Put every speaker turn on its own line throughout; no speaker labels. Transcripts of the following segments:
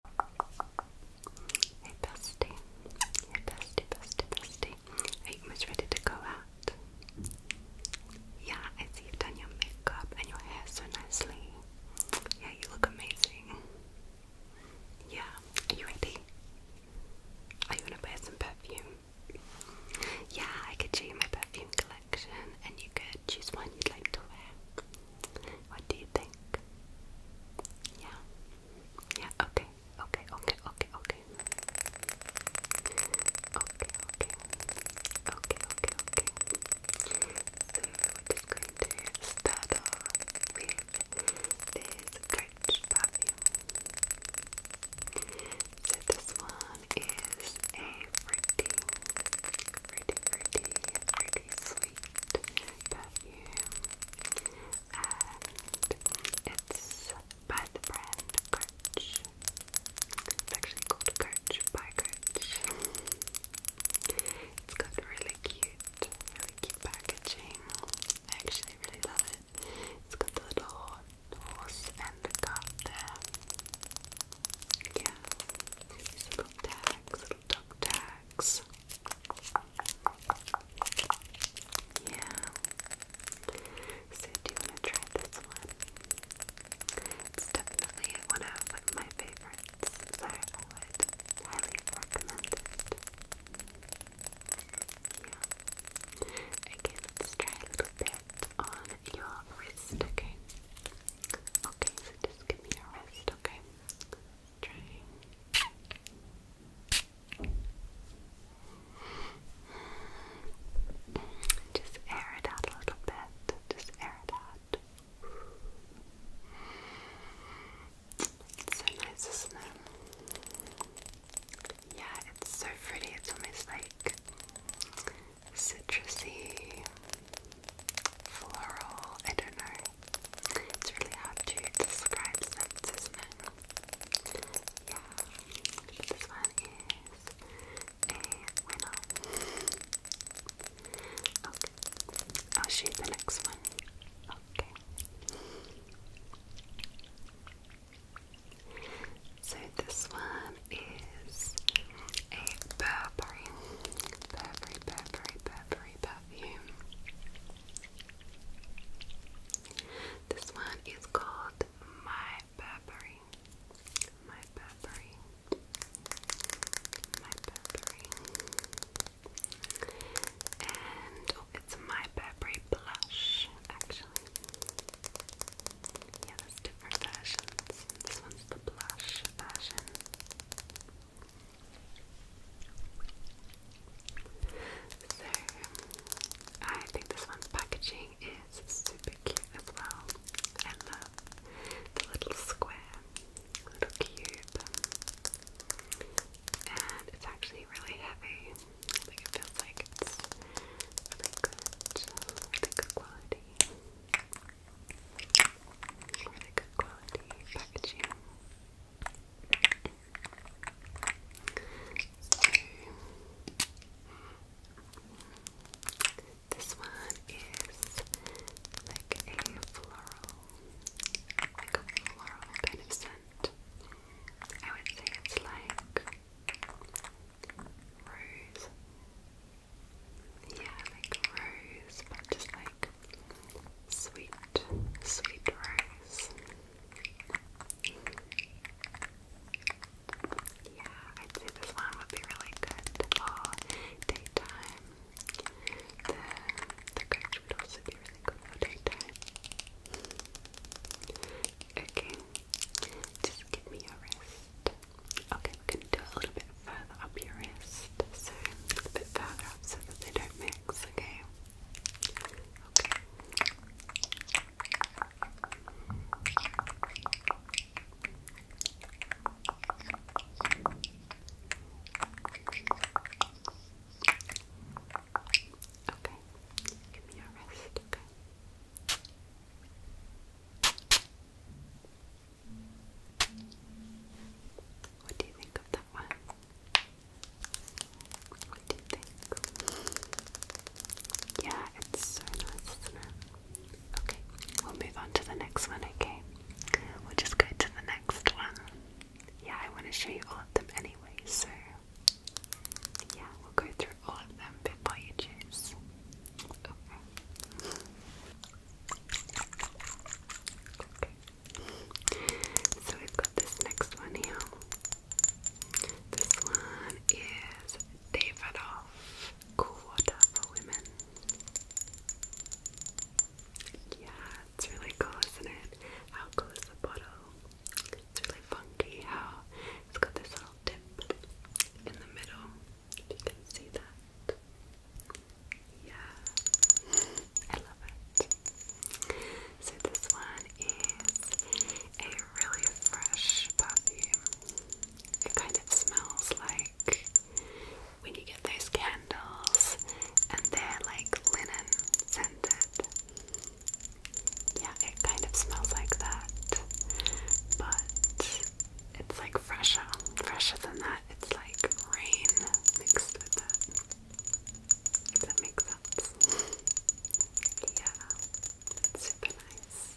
Hey bestie, hey bestie, bestie, bestie. Are you almost ready to go out? Yeah, I see you've done your makeup and your hair so nicely. Yeah, you look amazing. Yeah, you ready? Are you gonna wear some perfume? Yeah, I could show you my perfume collection and you could choose one you'd like to wear. What do you think? Yeah. Yeah, okay. Okay, okay, okay, okay. Okay, okay. Okay, okay, okay. So we're just going to start with this Gretsch perfume. So this one is a fruity, fruity, fruity, fruity really sweet perfume, and it's by the brand Coach. It's actually called Coach by Coach. It's got really cute, really cute packaging. I actually really love it. It's got the little horse and the cup Yeah. These little tags, little dog tags. Yeah. So do you want to try this one? It's definitely one of like, my favorites, so I would highly recommend it. Yeah. Again, let's try a little bit on your wrist, okay? Okay, so just give me your wrist, okay? Just air it out a little bit. Just air it out. so nice, isn't Yeah, it's so pretty. It's almost like citrusy floral. I don't know. It's really hard to describe scents, isn't it? Yeah. this one is a winner. Okay. I'll shoot the next one. Okay. So this one is a Burberry, Burberry, Burberry, Burberry, this one is called My Burberry. My Burberry. My Burberry. And oh, it's My Burberry Blush, actually. Yeah, different versions. This one's the blush version. So, I think this one's packaging is super cute as well. I love little square, little cube, and it's actually really heavy. Like it feels like it's really good, really good quality. Really good quality packaging. this one is like a floral, like a floral kind of scent. I would say it's like rose. Yeah, like rose, but just like Sweet, sweet rice. Yeah, I'd say this would be really good for daytime. The the coach would also be really good for daytime. Okay, just give me a rest. Okay. Okay, do a little bit further up your wrist. So, a bit further so that they don't mix, okay? Okay. give me your wrist, Okay. What do you think of that one? What do you think? Yeah, it's so nice, Okay, we'll move on to the next one, okay? We'll just go to the next one. Yeah, I want to show you all of them anyway, so yeah, we'll go through all of them before you choose. So we've got this next one here. This one is Davidoff Quarter for Women. Yeah, it's really cool, isn't it? How cool is the bottle? It's really funky how it's got this little dip in the middle. If you can see that. Yeah, I love it. So this one is a really fresh perfume. It kind of smells like when you get those candles and they're like linen scented. Yeah, it kind of smells like that. But it's like fresher, fresher than that. It's like rain mixed with that. If that makes sense. yeah, super nice.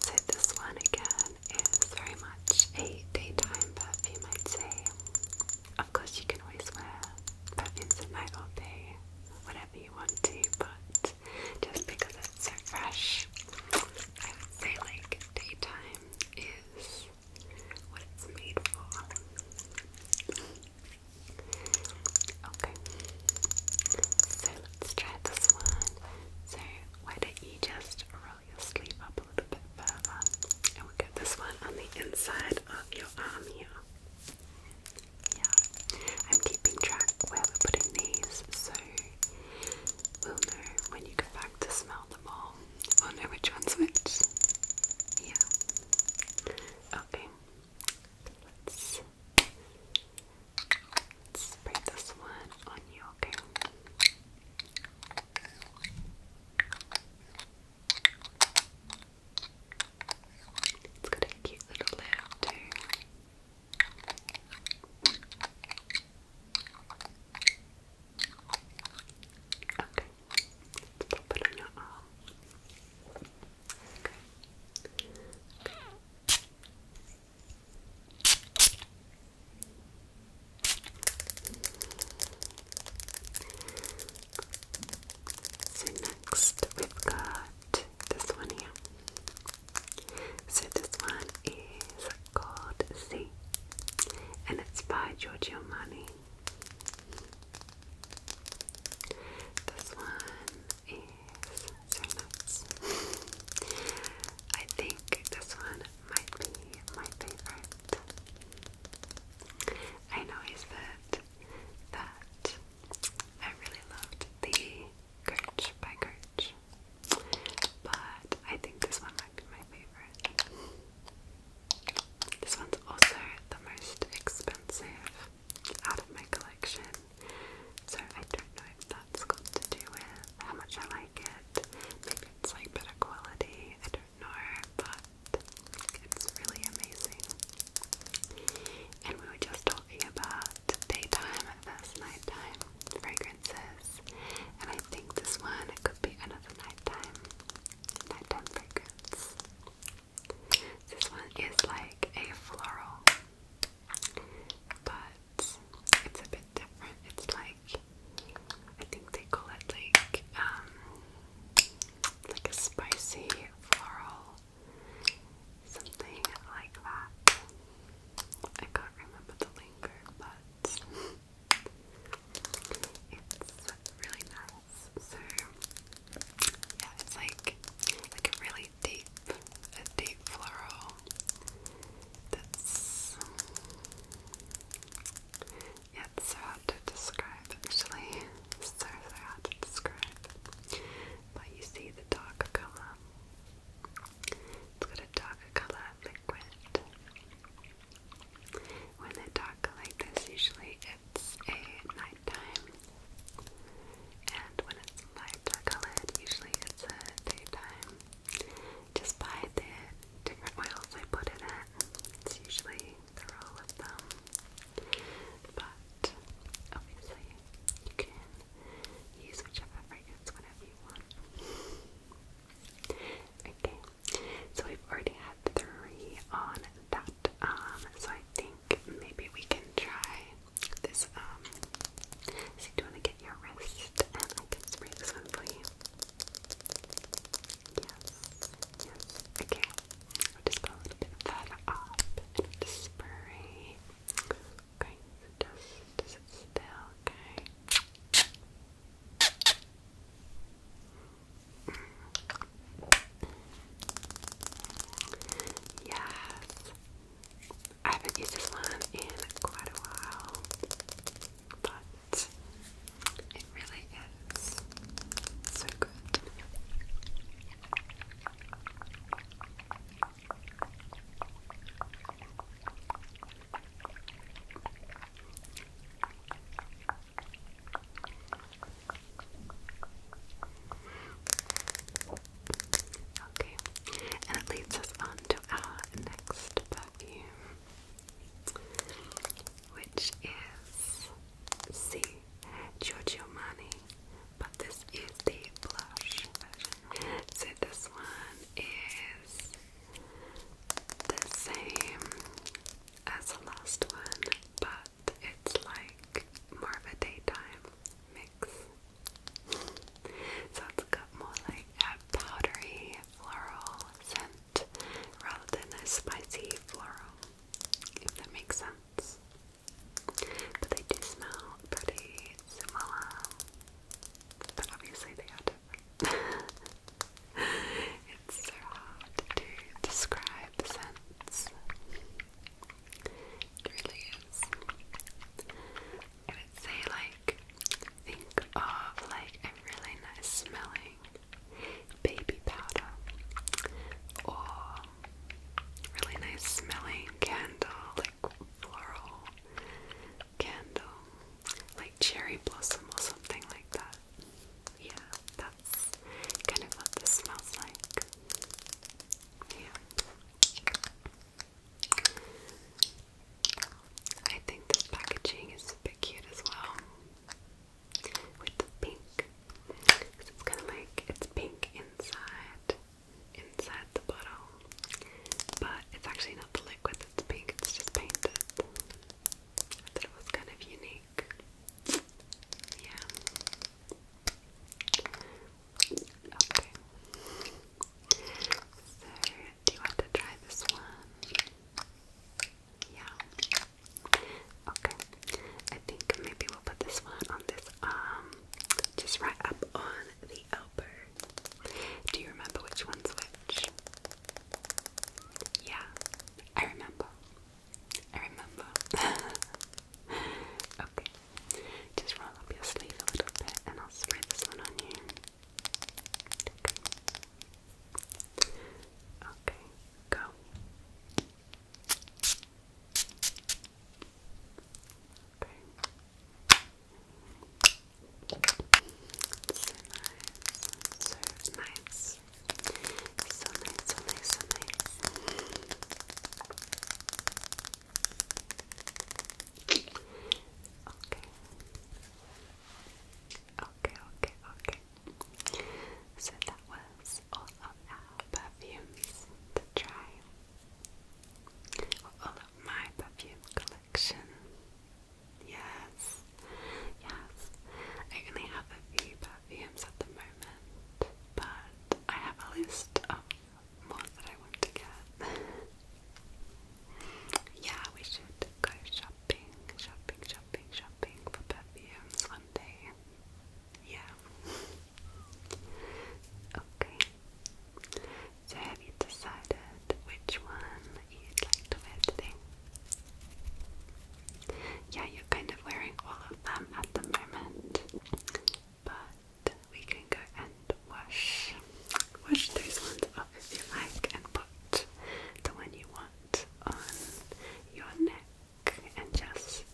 So this one again is very much a daytime perfume I'd say. Of course you can always wear perfumes at night all day, whatever you want to, but just because it's so fresh, I would say like daytime is what it's made for. Okay. So let's try this one. So why don't you just roll your sleeve up a little bit further and we get this one on the inside of your arm here. Yeah. I'm keeping track where we're putting these so we'll know when you come back to smell them all. We'll know which one's which. Yeah. Okay. Let's Let's spray this one on you, okay? It's got a cute little lid too. Okay, let's pop it on your arm. Okay. So next we've got this one here. So this one is called Z and it's by Giorgio Armani. This one is so nuts. I think this one might be my favorite. I noticed that that I really loved the Kirch by Kirch, but I think this one might be my favorite. This one's also the most expensive out of my collection. So I don't know if that's got to do with how much I like it. Maybe it's like better quality, I don't know, but it's really amazing. And we were just talking about daytime versus nighttime fragrances, and I think this one it could be another nighttime nighttime fragrance. This one is like a floral, but it's a bit different. It's like I think they call it like um like a spicy floral something like that. I can't remember the lingo, but it's really nice. So yeah, it's like like a really very deep, a deep floral that's yeah, so hard to describe actually. so so hard to describe. But you see the darker colour. It's got a darker colour liquid. When they're darker like this, usually it's a nighttime. And when it's lighter colored, usually it's a daytime. Just by the different oils I put it It's usually the rule of thumb. But obviously you can use whichever fragrance whenever you want. Okay, so we've already had three on that arm, um, so I think maybe we can try this. Um, do you want to get your wrist I can spray this one for you? Yes, yes. Okay, just a little bit further up spray. Okay, just, sit still, okay? Mm. Yes. I haven't used this one in quite a while, but it really is so good. Okay, and it leads us on to our next perfume, which is C. Giorgio Giorgiomani, but this is the blush version. So this one is the same as the last one, but it's like more of a daytime mix. so it's got more like a powdery floral scent rather than a spicy floral, if that makes sense. But they do smell pretty similar, but obviously they are different. it's so hard to describe scents. It really is. I would say, like, think of like a really nice smelling baby powder or really nice smelling candle, like floral candle, like cherry blossom or something like that. Yeah, that's kind of what this smells like. Yeah. I think this packaging is a cute as well. With the pink. Because it's kind of like it's pink inside inside the bottle. But it's actually not the liquid that's pink, it's just painted. I thought it was kind of unique. Yeah. Okay. So, do you want to try this one? Yeah. Okay. I think maybe we'll put this one on this arm, um, just right up on the elbow. Do you remember which one's which? Yeah, I remember. I remember. okay, just roll up your sleeve a little bit and I'll spray this one on you. Okay, go. Okay. So nice, so nice, so nice. Okay. Okay, okay, okay. So that was all of our perfumes to try. all of my perfume collection. Yes, yes. I only have a few, museums at the moment, but I have a list of more that I want to get. yeah, we should go shopping, shopping, shopping, shopping for perfumes one day. Yeah. okay. So have you decided which one you'd like to wear today? Yeah, you're kind of wearing all them at the moment, but we can go and wash, wash these ones up if you like, and put the one you want on your neck, and just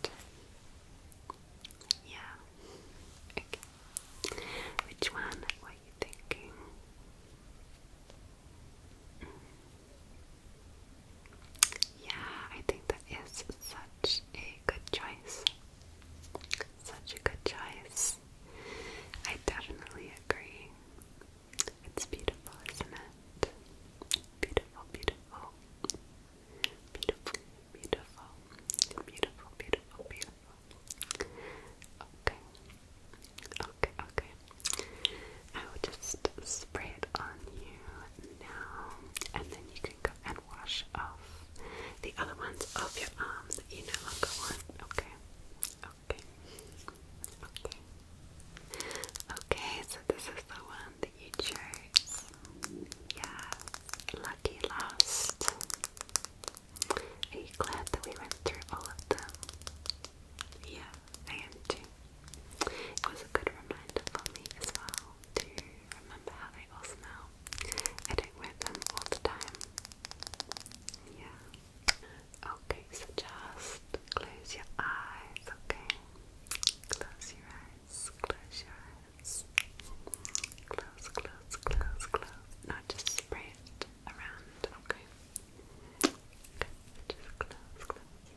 yeah. Okay, which one were you thinking? Yeah, I think that is such a good choice. Such a good choice. I definitely agree. It's beautiful, isn't it? Beautiful, beautiful. Beautiful, beautiful. Beautiful, beautiful, Okay. Okay, okay. I will just spray it on you now, and then you and wash off the other ones of your arms that you no longer want. Okay, okay, okay, okay. So this is the one that you chose. Yeah, lucky last. Are you glad that we went through all of them? Yeah, I am too. It was a good reminder for me as well to remember how they all smell. I don't wear them all the time. Yeah. Okay, so just close your eyes, okay? Close your eyes, close your eyes. Close, close, close, close. Not just spray around, okay? okay. Just close, close.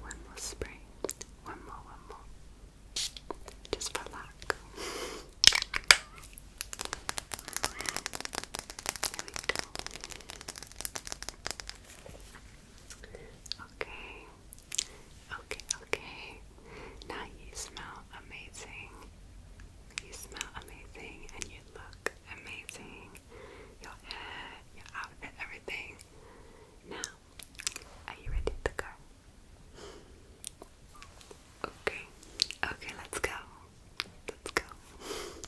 one more spray. One more, one more. Just for luck. Okay, okay, okay. Now you smell amazing. You smell amazing and you look amazing. Your hair, your outfit, everything. Now, are you ready to go? Okay, okay, let's go. Let's go.